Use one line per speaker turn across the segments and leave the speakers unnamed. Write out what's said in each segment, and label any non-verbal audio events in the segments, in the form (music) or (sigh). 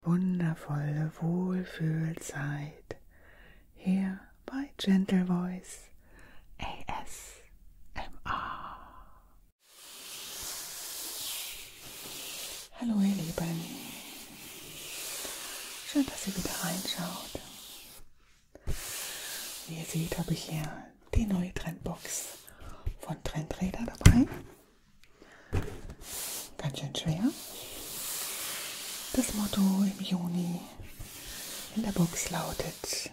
wundervolle Wohlfühlzeit hier bei Gentle Voice ASMR. Hallo ihr Lieben, schön, dass ihr wieder reinschaut. Wie ihr seht, habe ich hier die neue Trendbox von Trendräder dabei. Ganz schön schwer. Das Motto im Juni in der Box lautet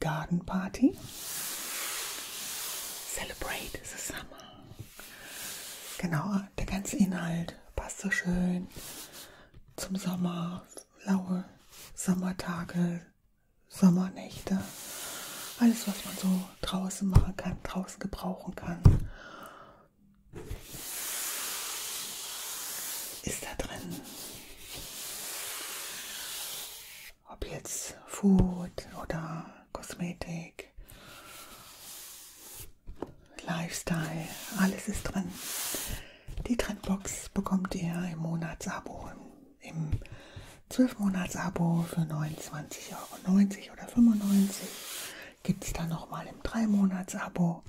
Garden Party. Celebrate the Summer. Genau, der ganze Inhalt passt so schön zum Sommer. Laue Sommertage, Sommernächte. Alles, was man so draußen machen kann, draußen gebrauchen kann. Ist da drin, ob jetzt Food oder Kosmetik, Lifestyle, alles ist drin. Die Trendbox bekommt ihr im Monatsabo, im 12-Monats-Abo für 29,90 Euro 90 oder 95 gibt es dann nochmal im 3-Monats-Abo.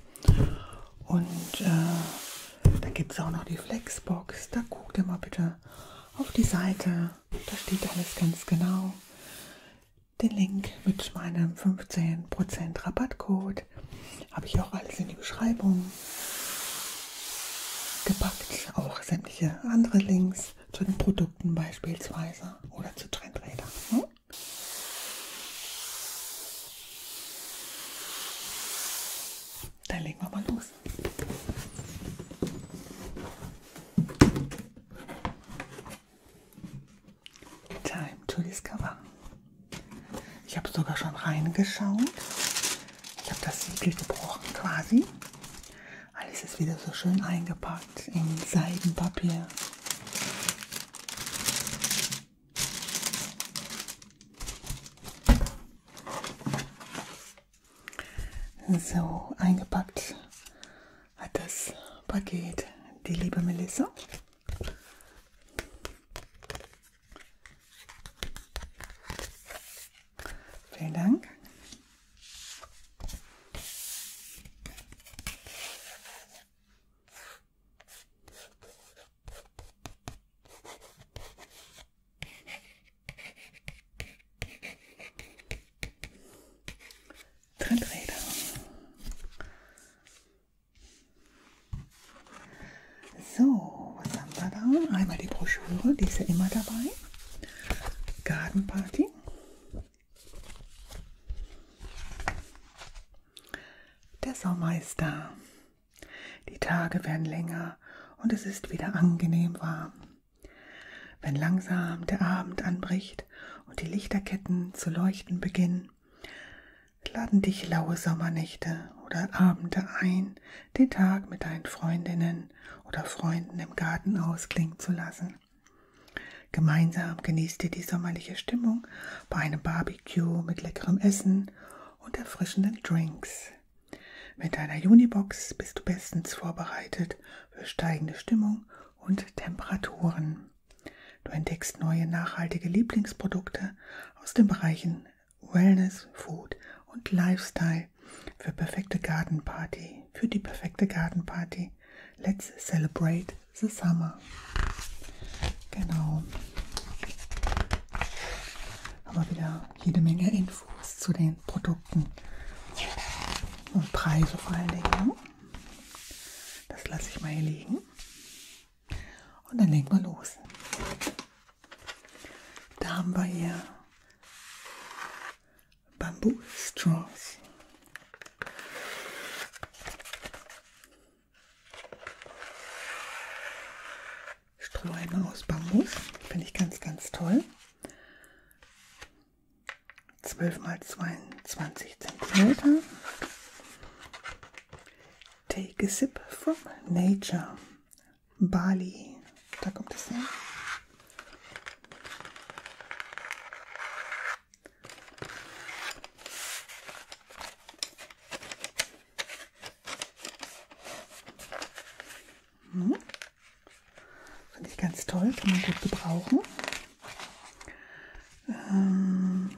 Und äh, da gibt es auch noch die Flexbox. Da guckt ihr mal bitte auf die Seite. Da steht alles ganz genau. Den Link mit meinem 15% Rabattcode habe ich auch alles in die Beschreibung gepackt. Auch sämtliche andere Links zu den Produkten beispielsweise oder zu Trendrädern. Hm? Dann legen wir mal los. Time to discover. Ich habe sogar schon reingeschaut. Ich habe das Siegel gebrochen quasi. Alles ist wieder so schön eingepackt in Seidenpapier. So eingepackt hat das Paket die liebe Melissa. Vielen Dank. Tritträder. So, was haben wir da? Einmal die Broschüre, die ist ja immer dabei. Gartenparty der Sommer ist da. Die Tage werden länger und es ist wieder angenehm warm. Wenn langsam der Abend anbricht und die Lichterketten zu leuchten beginnen, laden dich laue Sommernächte oder Abende ein, den Tag mit deinen Freundinnen oder Freunden im Garten ausklingen zu lassen. Gemeinsam genießt ihr die sommerliche Stimmung bei einem Barbecue mit leckerem Essen und erfrischenden Drinks. Mit deiner Unibox bist du bestens vorbereitet für steigende Stimmung und Temperaturen. Du entdeckst neue nachhaltige Lieblingsprodukte aus den Bereichen Wellness, Food und Lifestyle. Frage für perfekte Gartenparty, für die perfekte Gartenparty. Let's celebrate the summer. Genau. Aber wieder jede Menge Infos zu den Produkten und Preise vor allen Dingen. Das lasse ich mal hier liegen. Und dann legen wir los. Da haben wir hier Bamboo Straws. Strohhalme aus Bambus, finde ich ganz, ganz toll. 12 x 22 cm. Take a sip from nature. Bali. Da kommt es her. Mhm. Finde ich ganz toll, kann man gut gebrauchen. Ähm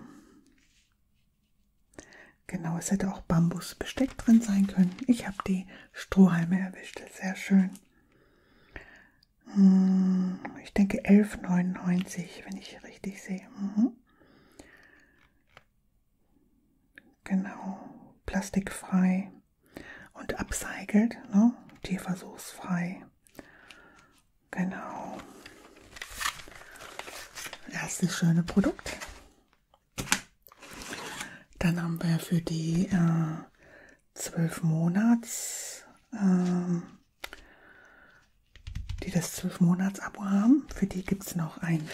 genau, es hätte auch Bambusbesteck drin sein können. Ich habe die Strohhalme erwischt, sehr schön. Hm, ich denke 11,99, wenn ich richtig sehe. Mhm. Genau, plastikfrei und upcycled, ne? tierversuchsfrei. Genau. Erstes schöne Produkt. Dann haben wir für die äh, zwölf Monats, ähm, die das zwölf Monats Abo haben. Für die gibt es noch ein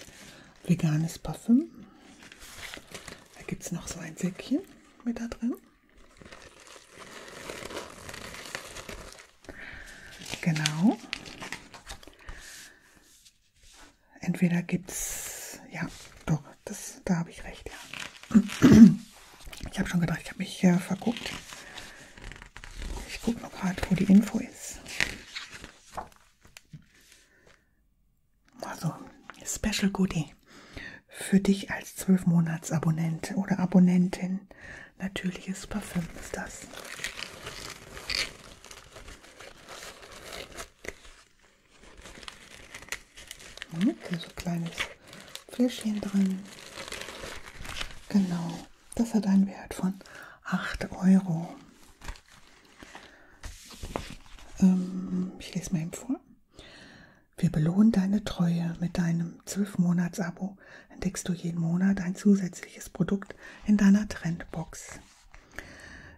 veganes Parfüm. Da gibt es noch so ein Säckchen mit da drin. Genau. Entweder gibt es, ja, doch, das, da habe ich recht, ja. Ich habe schon gedacht, ich habe mich äh, verguckt. Ich gucke noch gerade, wo die Info ist. Also, Special Goodie. Für dich als 12-Monats-Abonnent oder Abonnentin. Natürliches Parfüm ist das. Hier so ein kleines Fläschchen drin. Genau, das hat einen Wert von 8 Euro. Ähm, ich lese mal eben vor. Wir belohnen deine Treue. Mit deinem 12-Monats-Abo entdeckst du jeden Monat ein zusätzliches Produkt in deiner Trendbox.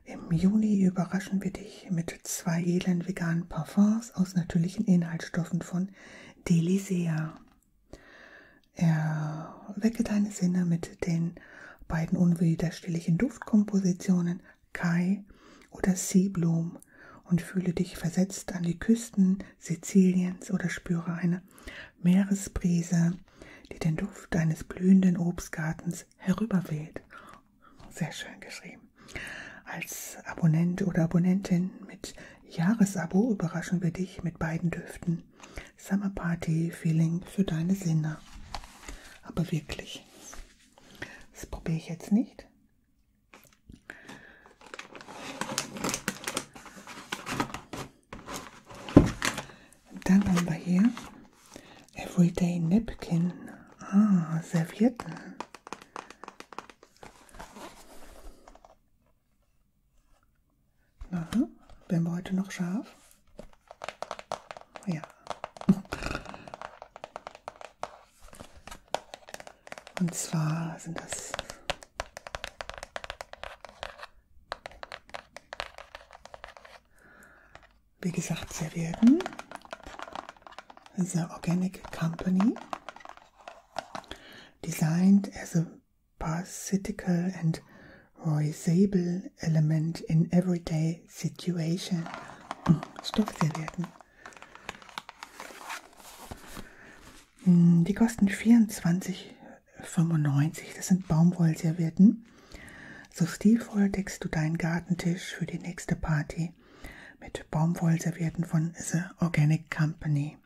Im Juni überraschen wir dich mit mit zwei edlen veganen Parfums aus natürlichen Inhaltsstoffen von Delisea. Er wecke deine Sinne mit den beiden unwiderstehlichen Duftkompositionen Kai oder Seeblum und fühle dich versetzt an die Küsten Siziliens oder spüre eine Meeresbrise, die den Duft eines blühenden Obstgartens herüberweht sehr schön geschrieben. Als Abonnent oder Abonnentin mit Jahresabo überraschen wir dich mit beiden Düften. Summer Party Feeling für deine Sinne. Aber wirklich. Das probiere ich jetzt nicht. Dann haben wir hier Everyday Napkin. Ah, Servietten. Na, werden wir heute noch scharf? Ja. Und zwar sind das wie gesagt, Servietten. The Organic Company. Designed as a parasitical and reusable element in everyday situation. Hm, Stoffservietten. Hm, die kosten 24,95. Das sind Baumwollservietten. So stilvoll deckst du deinen Gartentisch für die nächste Party mit Baumwollservietten von The Organic Company.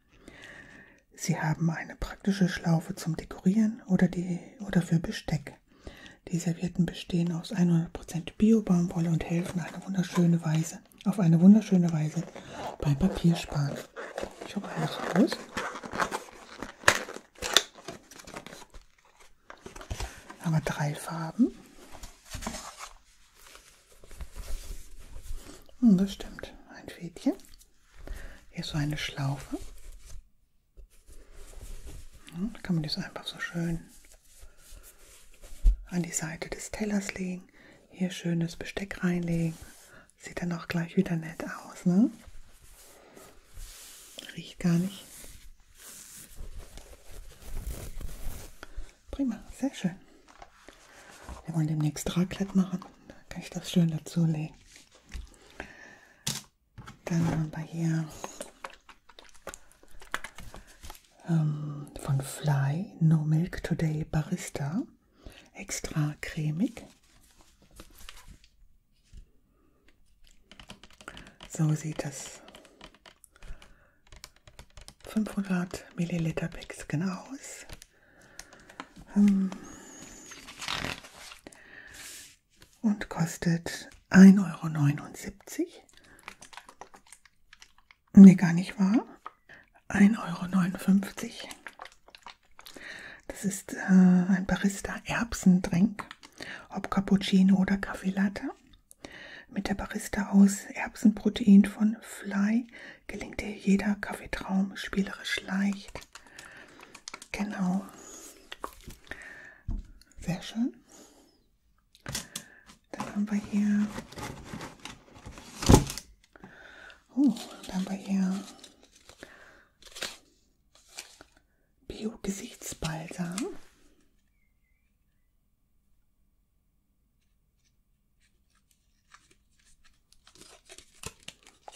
Sie haben eine praktische Schlaufe zum Dekorieren oder, die, oder für Besteck. Die Servietten bestehen aus 100% Bio-Baumwolle und helfen eine wunderschöne Weise, auf eine wunderschöne Weise beim Papiersparen. Ich hole alles raus. Haben wir drei Farben. Und hm, das stimmt. Ein Fädchen. Hier ist so eine Schlaufe. Und hm, da kann man das einfach so schön an die Seite des Tellers legen. Hier schönes Besteck reinlegen. Sieht dann auch gleich wieder nett aus. Ne? Riecht gar nicht. Prima, sehr schön. Wir wollen demnächst Raclette machen. Da kann ich das schön dazu legen. Dann haben wir hier ähm, von Fly No Milk Today Barista. Extra cremig. So sieht das 500 Milliliter Päckchen aus. Hm. Und kostet 1,79 Euro. Nee, gar nicht wahr. 1,59 Euro. Das ist äh, ein Barista Erbsentrink, ob Cappuccino oder Kaffee Latte. Mit der Barista aus Erbsenprotein von Fly gelingt dir jeder Kaffeetraum spielerisch leicht. Genau. Sehr schön. Dann haben wir hier. Oh, dann haben wir hier Bio-Gesichtsbalsam.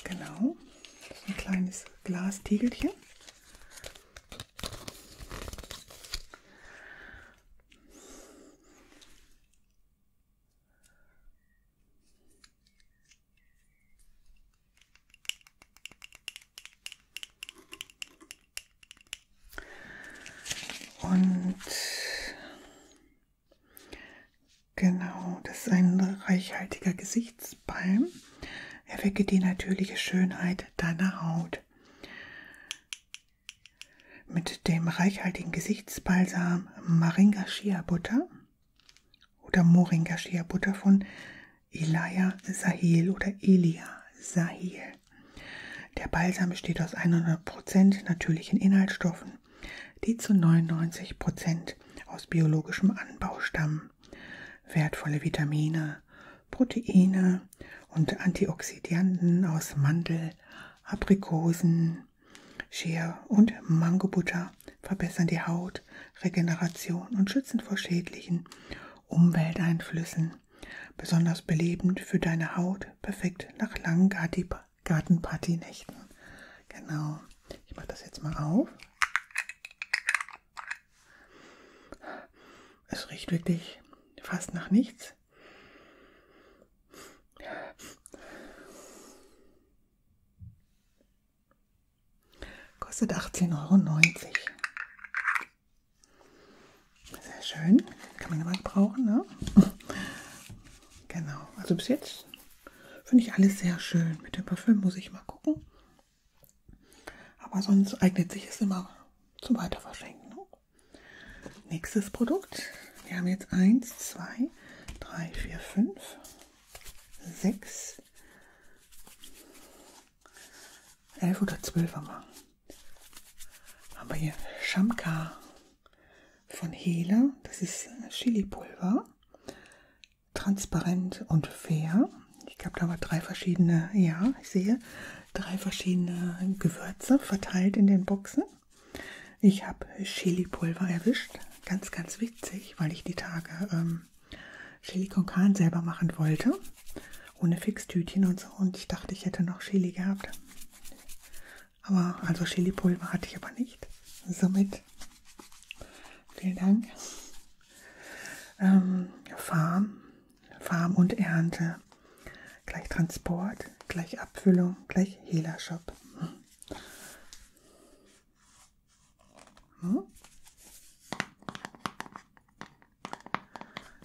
Genau, so ein kleines Glastegelchen. Und genau, das ist ein reichhaltiger Gesichtsbalm. Er wecke die natürliche Schönheit deiner Haut. Mit dem reichhaltigen Gesichtsbalsam Moringa Shea Butter oder Moringa Shea Butter von Elia Sahel oder Elia Sahel. Der Balsam besteht aus 100% natürlichen Inhaltsstoffen, die zu 99% aus biologischem Anbau stammen. Wertvolle Vitamine, Proteine und Antioxidantien aus Mandel, Aprikosen, Scher und Mangobutter verbessern die Haut, Regeneration und schützen vor schädlichen Umwelteinflüssen besonders belebend für deine Haut, perfekt nach langen Gartenpartynächten. Genau, ich mache das jetzt mal auf. Es riecht wirklich fast nach nichts. Kostet 18,90 Euro. Sehr schön. Kann man immer gebrauchen, ne? (laughs) Genau. Also bis jetzt finde ich alles sehr schön. Mit dem Parfüm muss ich mal gucken. Aber sonst eignet sich es immer zum Weiterverschenken. Ne? Nächstes Produkt. Wir haben jetzt 1, 2, 3, 4, 5, 6, 11 oder 12 haben wir. Haben wir hier Shamka von Hele. Das ist äh, Chili-Pulver. Transparent und fair. Ich glaube, da haben wir drei verschiedene, ja, ich sehe, drei verschiedene Gewürze verteilt in den Boxen. Ich habe Chili-Pulver erwischt. Ganz, ganz witzig, weil ich die Tage ähm, Chili con Carne selber machen wollte. Ohne Fixtütchen und so. Und ich dachte, ich hätte noch Chili gehabt. Aber, also Chili-Pulver hatte ich aber nicht. Somit, vielen Dank. Ähm, Farm, Farm und Ernte. Gleich Transport, gleich Abfüllung, gleich Hela-Shop. Hm. hm?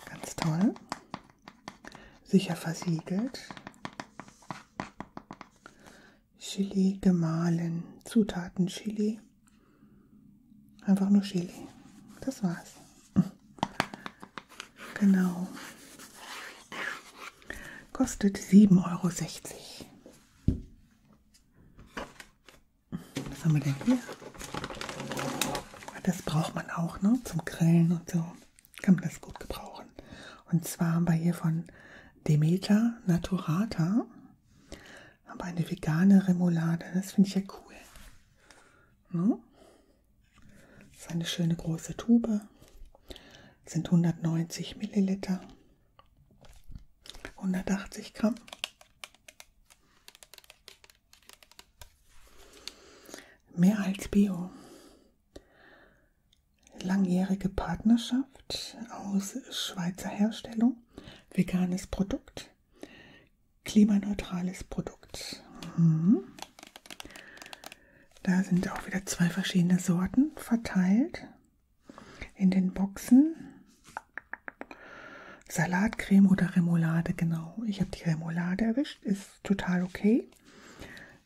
Ganz toll. Sicher versiegelt. Chili gemahlen. Zutaten Chili. Einfach nur Chili. Das war's. (laughs) Genau. Kostet 7,60 Euro. Was haben wir denn hier? Das braucht man auch ne? zum Grillen und so. Kann man das gut gebrauchen. Und zwar haben wir hier von Demeter Naturata aber eine vegane Remoulade. Das finde ich ja cool. Ne? Das ist eine schöne große Tube. Das sind 190 Milliliter. 180 Gramm. Mehr als Bio. Langjährige Partnerschaft aus Schweizer Herstellung, veganes Produkt, klimaneutrales Produkt. Mhm. Da sind auch wieder zwei verschiedene Sorten verteilt in den Boxen. Salatcreme oder Remoulade, genau. Ich habe die Remoulade erwischt, ist total okay.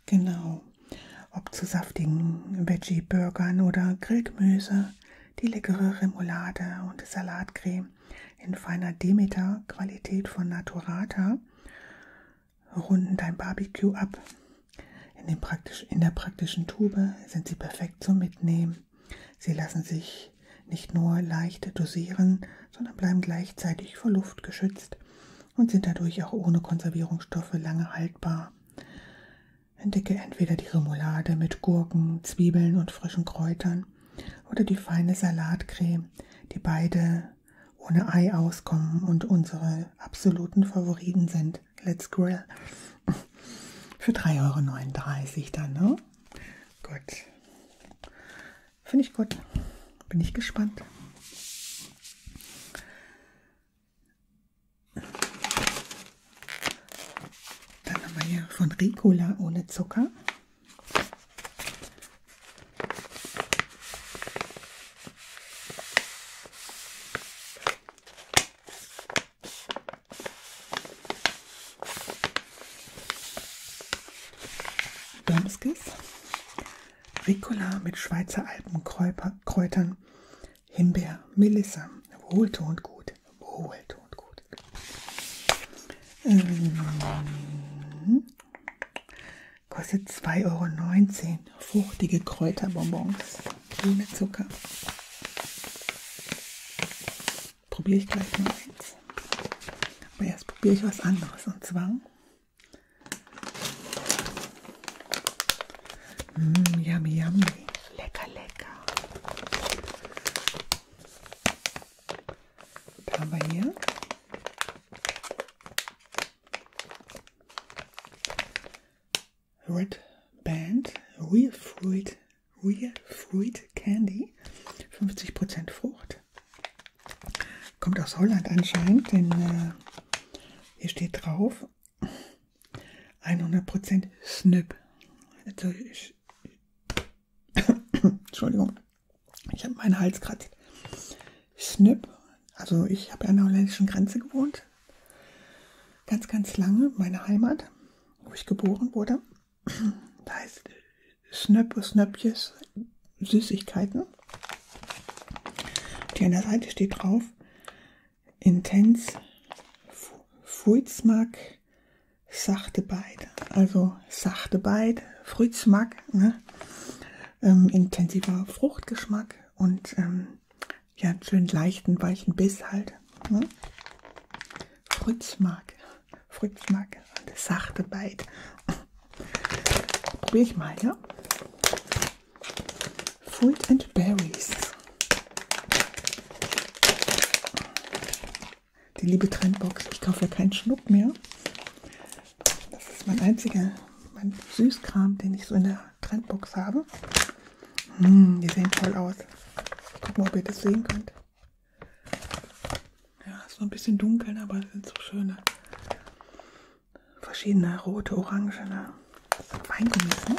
Genau. Ob zu saftigen Veggie-Burgern oder Grillgemüse, die leckere Remoulade und Salatcreme in feiner Demeter-Qualität von Naturata runden dein Barbecue ab. In, den praktisch, in der praktischen Tube sind sie perfekt zum Mitnehmen. Sie lassen sich nicht nur leicht dosieren, sondern bleiben gleichzeitig vor Luft geschützt und sind dadurch auch ohne Konservierungsstoffe lange haltbar. Entdecke entweder die Remoulade mit Gurken, Zwiebeln und frischen Kräutern oder die feine Salatcreme, die beide ohne Ei auskommen und unsere absoluten Favoriten sind. Let's Grill. Für 3,39 Euro dann, ne? Gut. Finde ich gut. Bin ich gespannt. Dann haben wir hier von Ricola ohne Zucker. Dömskis, Ricola mit Schweizer Alpenkräutern, Himbeer, Melissa, wohltuend gut, wohltuend gut. Ähm, kostet 2,19 Euro, fruchtige Kräuterbonbons ohne Zucker probiere ich gleich mal eins. Aber jetzt probiere ich was anderes. Und zwar Mm, yummy, yummy. Lecker, lecker. Da haben wir hier. Red Band Real Fruit Real Fruit Candy, 50% Frucht. Kommt aus Holland anscheinend, denn äh, hier steht drauf 100% Snip. Also ich, (coughs) Entschuldigung, ich habe meinen Hals kratzt. Snip, also ich habe an der holländischen Grenze gewohnt, ganz, ganz lange, meine Heimat, wo ich geboren wurde da heißt Snöppe, Snöppjes, Süßigkeiten. Und hier an der Seite steht drauf, intens, Fruitsmack, sachte Bite. Also sachte Bite, Fruitsmack, ne? ähm, intensiver Fruchtgeschmack und ähm, ja, schön leichten, weichen Biss halt. Ne? Fruitsmaak. Fruitsmaak. De zachte bijt. Probeer ich mal, ja? Fruit and Berries. Die liebe Trendbox. Ich kaufe ja keinen Schnuck mehr. Das ist mein einziger mein Süßkram, den ich so in der Trendbox habe. Hm, die sehen toll aus. Guck mal, ob ihr das sehen könnt. Ja, ist so ein bisschen dunkel, aber sind so schöne. Verschiedene rote, orangene Weingummis, ne?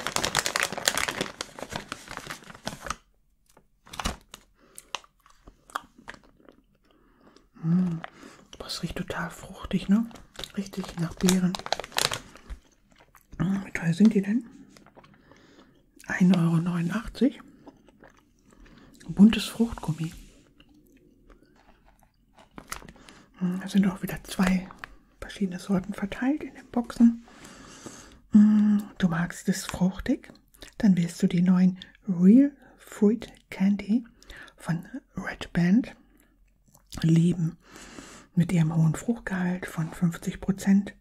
Hm, das riecht total fruchtig, ne? Richtig nach Beeren. Wie teuer sind die denn? 1,89 Euro. Buntes Fruchtgummi. Hm, da sind auch wieder zwei verschiedene Sorten verteilt in den Boxen. Hm, du magst es fruchtig? Dann willst du die neuen Real Fruit Candy von Red Band lieben mit ihrem hohen Fruchtgehalt von 50 Prozent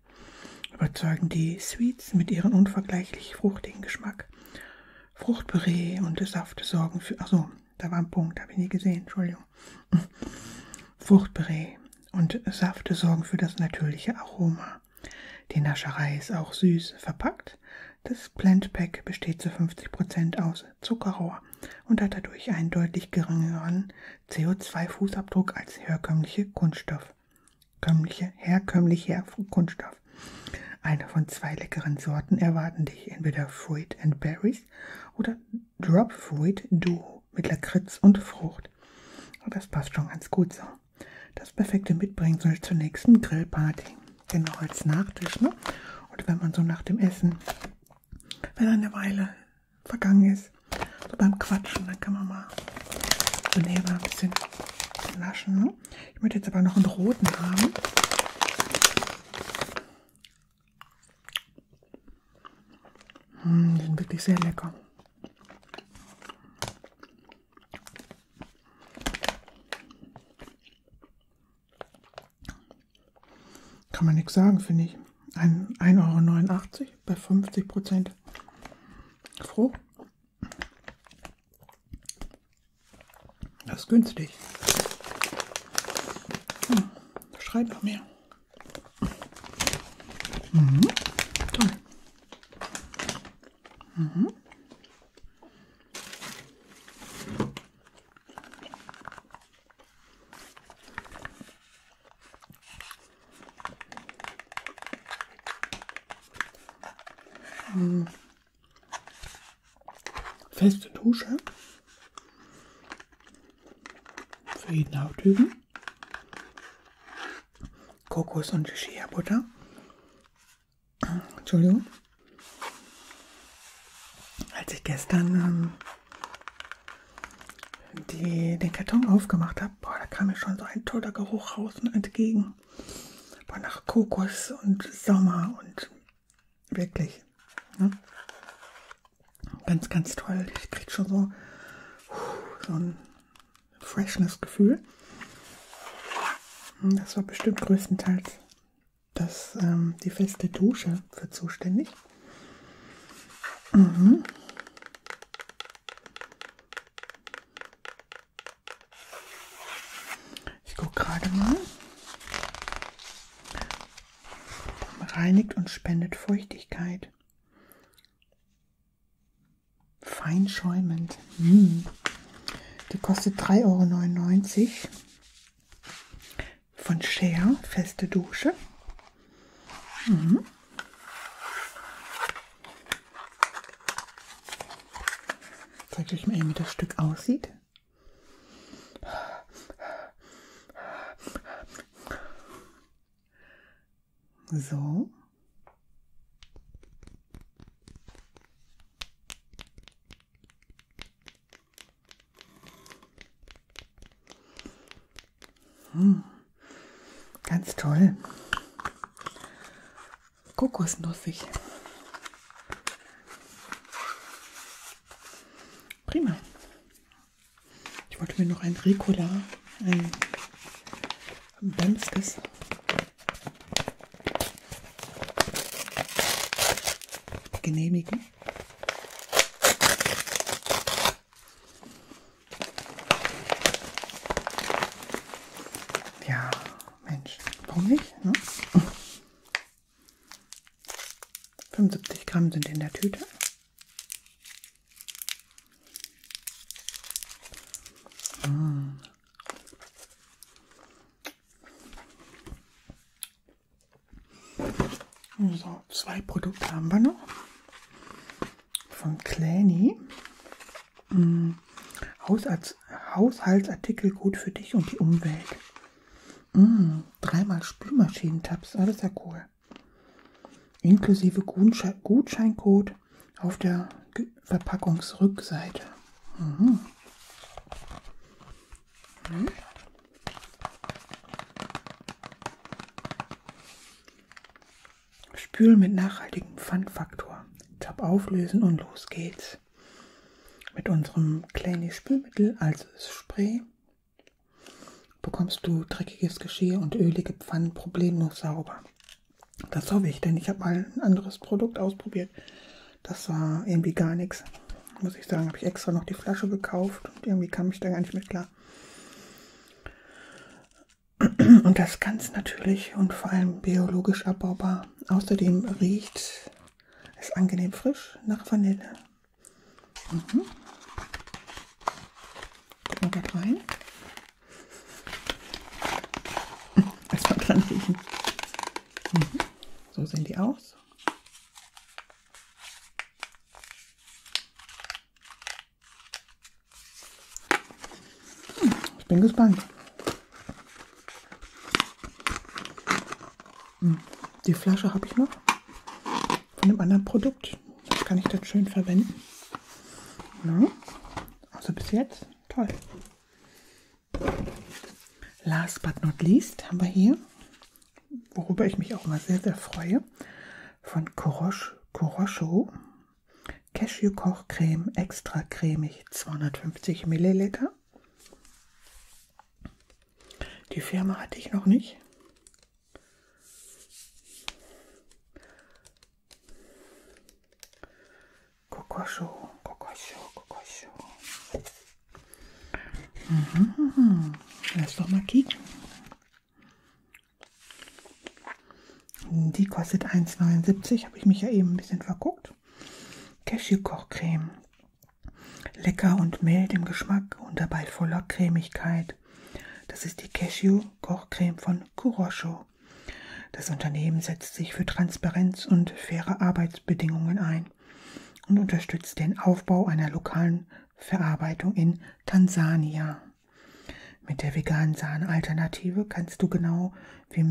überzeugen die Sweets mit ihrem unvergleichlich fruchtigen Geschmack. Fruchtpüree und Saft sorgen für. Achso, da war ein Punkt, habe ich nie gesehen, Entschuldigung. Fruchtpüree und Safte sorgen für das natürliche Aroma. Die Nascherei ist auch süß verpackt. Das Blend Pack besteht zu 50% aus Zuckerrohr und hat dadurch einen deutlich geringeren CO2-Fußabdruck als herkömmliche Kunststoff. Kömmliche, herkömmlicher Kunststoff. Eine von zwei leckeren Sorten erwarten dich entweder Fruit and Berries oder Drop Fruit Duo mit Lakritz und Frucht. Aber das passt schon ganz gut so. Das perfekte Mitbringsel zur nächsten Grillparty. Genau als Nachtisch, ne? Und wenn man so nach dem Essen, wenn eine Weile vergangen ist. So beim Quatschen, dann kann man mal so nebenbei ein bisschen naschen. Ne? Ich möchte jetzt aber noch einen roten haben. Hm, die sind wirklich sehr lecker. Kann man nichts sagen, finde ich. 1,89 Euro bei 50 Prozent Frucht. Das ist günstig. Hm, schreit noch mehr. Mhm, toll. Mhm. Hm. Feste Dusche für jeden Hauttypen. Kokos und Shea Butter. Entschuldigung. Als ich gestern ähm, die, den Karton aufgemacht habe, boah, da kam mir schon so ein toller Geruch raus und ne, entgegen. Boah, nach Kokos und Sommer und wirklich. Ne? Ganz, ganz toll. Ich kriege schon so, so ein Freshness-Gefühl. Hm, das war bestimmt größtenteils das, ähm, die feste Dusche für zuständig. Mhm. Ich gucke gerade mal. Reinigt und spendet Feuchtigkeit. Fein schäumend. Mm. Hm. Die kostet 3,99 Euro. Von Share, feste Dusche. Mhm. Zeigt euch mal eben, wie das Stück aussieht. So. Hm, ganz toll. Kokosnussig. Prima. Ich wollte mir noch ein Ricola, ein Bamskes. genehmigen. Ja, Mensch, warum nicht? Ne? 75 Gramm sind in der Tüte. Hm. So. So, zwei Produkte haben wir noch. Von Clanny. Hm, mm. Hausarzt, Haushaltsartikel gut für dich und die Umwelt. Hm, dreimal Spülmaschinentabs, alles ja cool. Inklusive Gutsche Gutscheincode auf der G Verpackungsrückseite. Mhm. Hm. Spülen mit nachhaltigem Pfandfaktor. Tab auflösen und los geht's. Mit unserem kleinen Spülmittel, also das Spray, bekommst du dreckiges Geschirr und ölige Pfannen problemlos sauber. Das hoffe ich, denn ich habe mal ein anderes Produkt ausprobiert. Das war irgendwie gar nichts. Muss ich sagen, habe ich extra noch die Flasche gekauft und irgendwie kam ich da gar nicht mit klar. Und das ganz natürlich und vor allem biologisch abbaubar. Außerdem riecht es angenehm frisch nach Vanille. Mhm. Gucken wir da rein. (laughs) Erstmal dran riechen. Mhm. So sehen die aus. Ich bin gespannt. Hm, die Flasche habe ich noch von einem anderen Produkt. Das kann ich dann schön verwenden. Ja. Also bis jetzt toll. Last but not least haben wir hier worüber ich mich auch mal sehr, sehr freue, von Corosh, Corosho Cashew-Kochcreme, extra cremig, 250 Milliliter. Die Firma hatte ich noch nicht. Kokosho, Kokosho, Kokosho. Mhm, mhm, mhm. Lass doch mal kicken. Die kostet 1,79. Habe ich mich ja eben ein bisschen verguckt. Cashew-Kochcreme. Lecker und mild im Geschmack und dabei voller Cremigkeit. Das ist die Cashew-Kochcreme von Kurosho. Das Unternehmen setzt sich für Transparenz und faire Arbeitsbedingungen ein und unterstützt den Aufbau einer lokalen Verarbeitung in Tansania. Mit der veganen Sahne-Alternative kannst du genau wie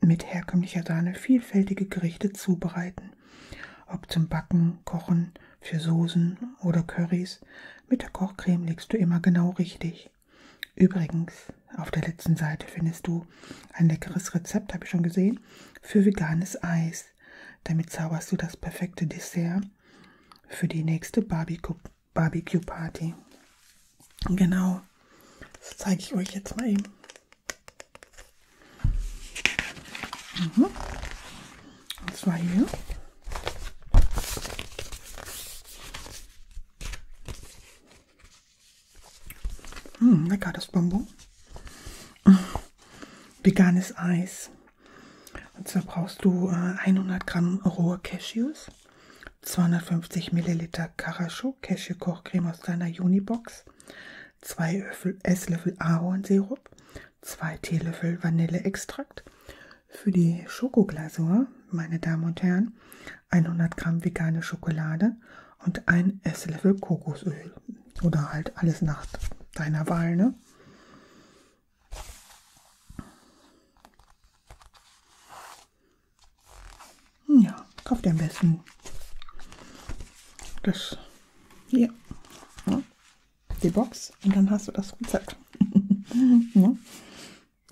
mit herkömmlicher Sahne vielfältige Gerichte zubereiten. Ob zum Backen, Kochen, für Soßen oder Currys, mit der Kochcreme legst du immer genau richtig. Übrigens, auf der letzten Seite findest du ein leckeres Rezept, habe ich schon gesehen, für veganes Eis. Damit zauberst du das perfekte Dessert für die nächste Barbecue-Party. Genau, das zeige ich euch jetzt mal eben. Mhm. Und zwar hier. Hm, lecker das Bonbon. Veganes Eis. Und also zwar brauchst du 100 äh, Gramm rohe Cashews, 250 Milliliter Karashu Cashew-Kochcreme aus deiner Unibox, 2 Esslöffel Ahornsirup, 2 Teelöffel Vanilleextrakt. Für die Schokoglasur, meine Damen und Herren, 100 Gramm vegane Schokolade und ein Esslöffel Kokosöl. Oder halt alles nach deiner Wahl, ne? Ja, kauft ihr am besten das hier, ja, die Box und dann hast du das Rezept. (laughs)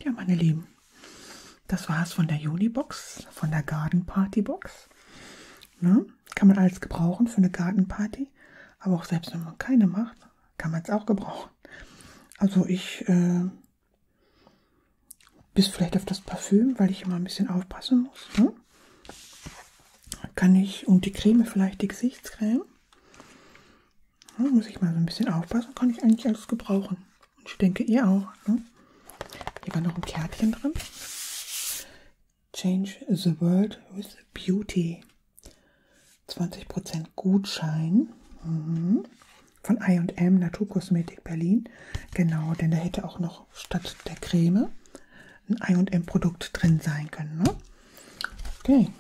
ja, meine Lieben, das war's von der Juli-Box, von der Garden Party-Box. Ne? kann man alles gebrauchen für eine Gartenparty. Aber auch selbst wenn man keine macht, kann man es auch gebrauchen. Also ich äh, bis vielleicht auf das Parfüm, weil ich immer ein bisschen aufpassen muss. Ne? Kann ich, und die Creme vielleicht, die Gesichtscreme. Ne? Muss ich mal so ein bisschen aufpassen, kann ich eigentlich alles gebrauchen. Und ich denke, ihr auch. Ne? Hier war noch ein Kärtchen drin. Change the World with Beauty. 20% Gutschein mhm. von IM Naturkosmetik Berlin. Genau, denn da hätte auch noch statt der Creme ein IM Produkt drin sein können. Ne? Okay.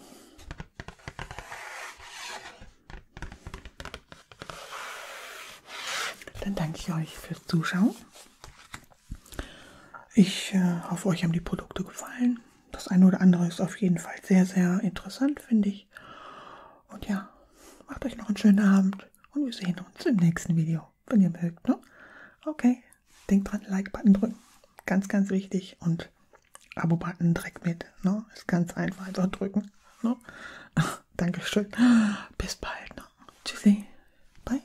Dann danke ich euch fürs Zuschauen. Ich äh, hoffe, euch haben die Produkte gefallen. Das eine oder andere ist auf jeden Fall sehr, sehr interessant, finde ich. Und ja, macht euch noch einen schönen Abend und wir sehen uns im nächsten Video, wenn ihr mögt. Ne? Okay, denkt dran, Like-Button drücken. Ganz, ganz wichtig. Und Abo-Button direkt mit. Ne? Ist ganz einfach, einfach drücken. Ne? (laughs) Dankeschön. Bis bald. Ne? Tschüssi. Bye.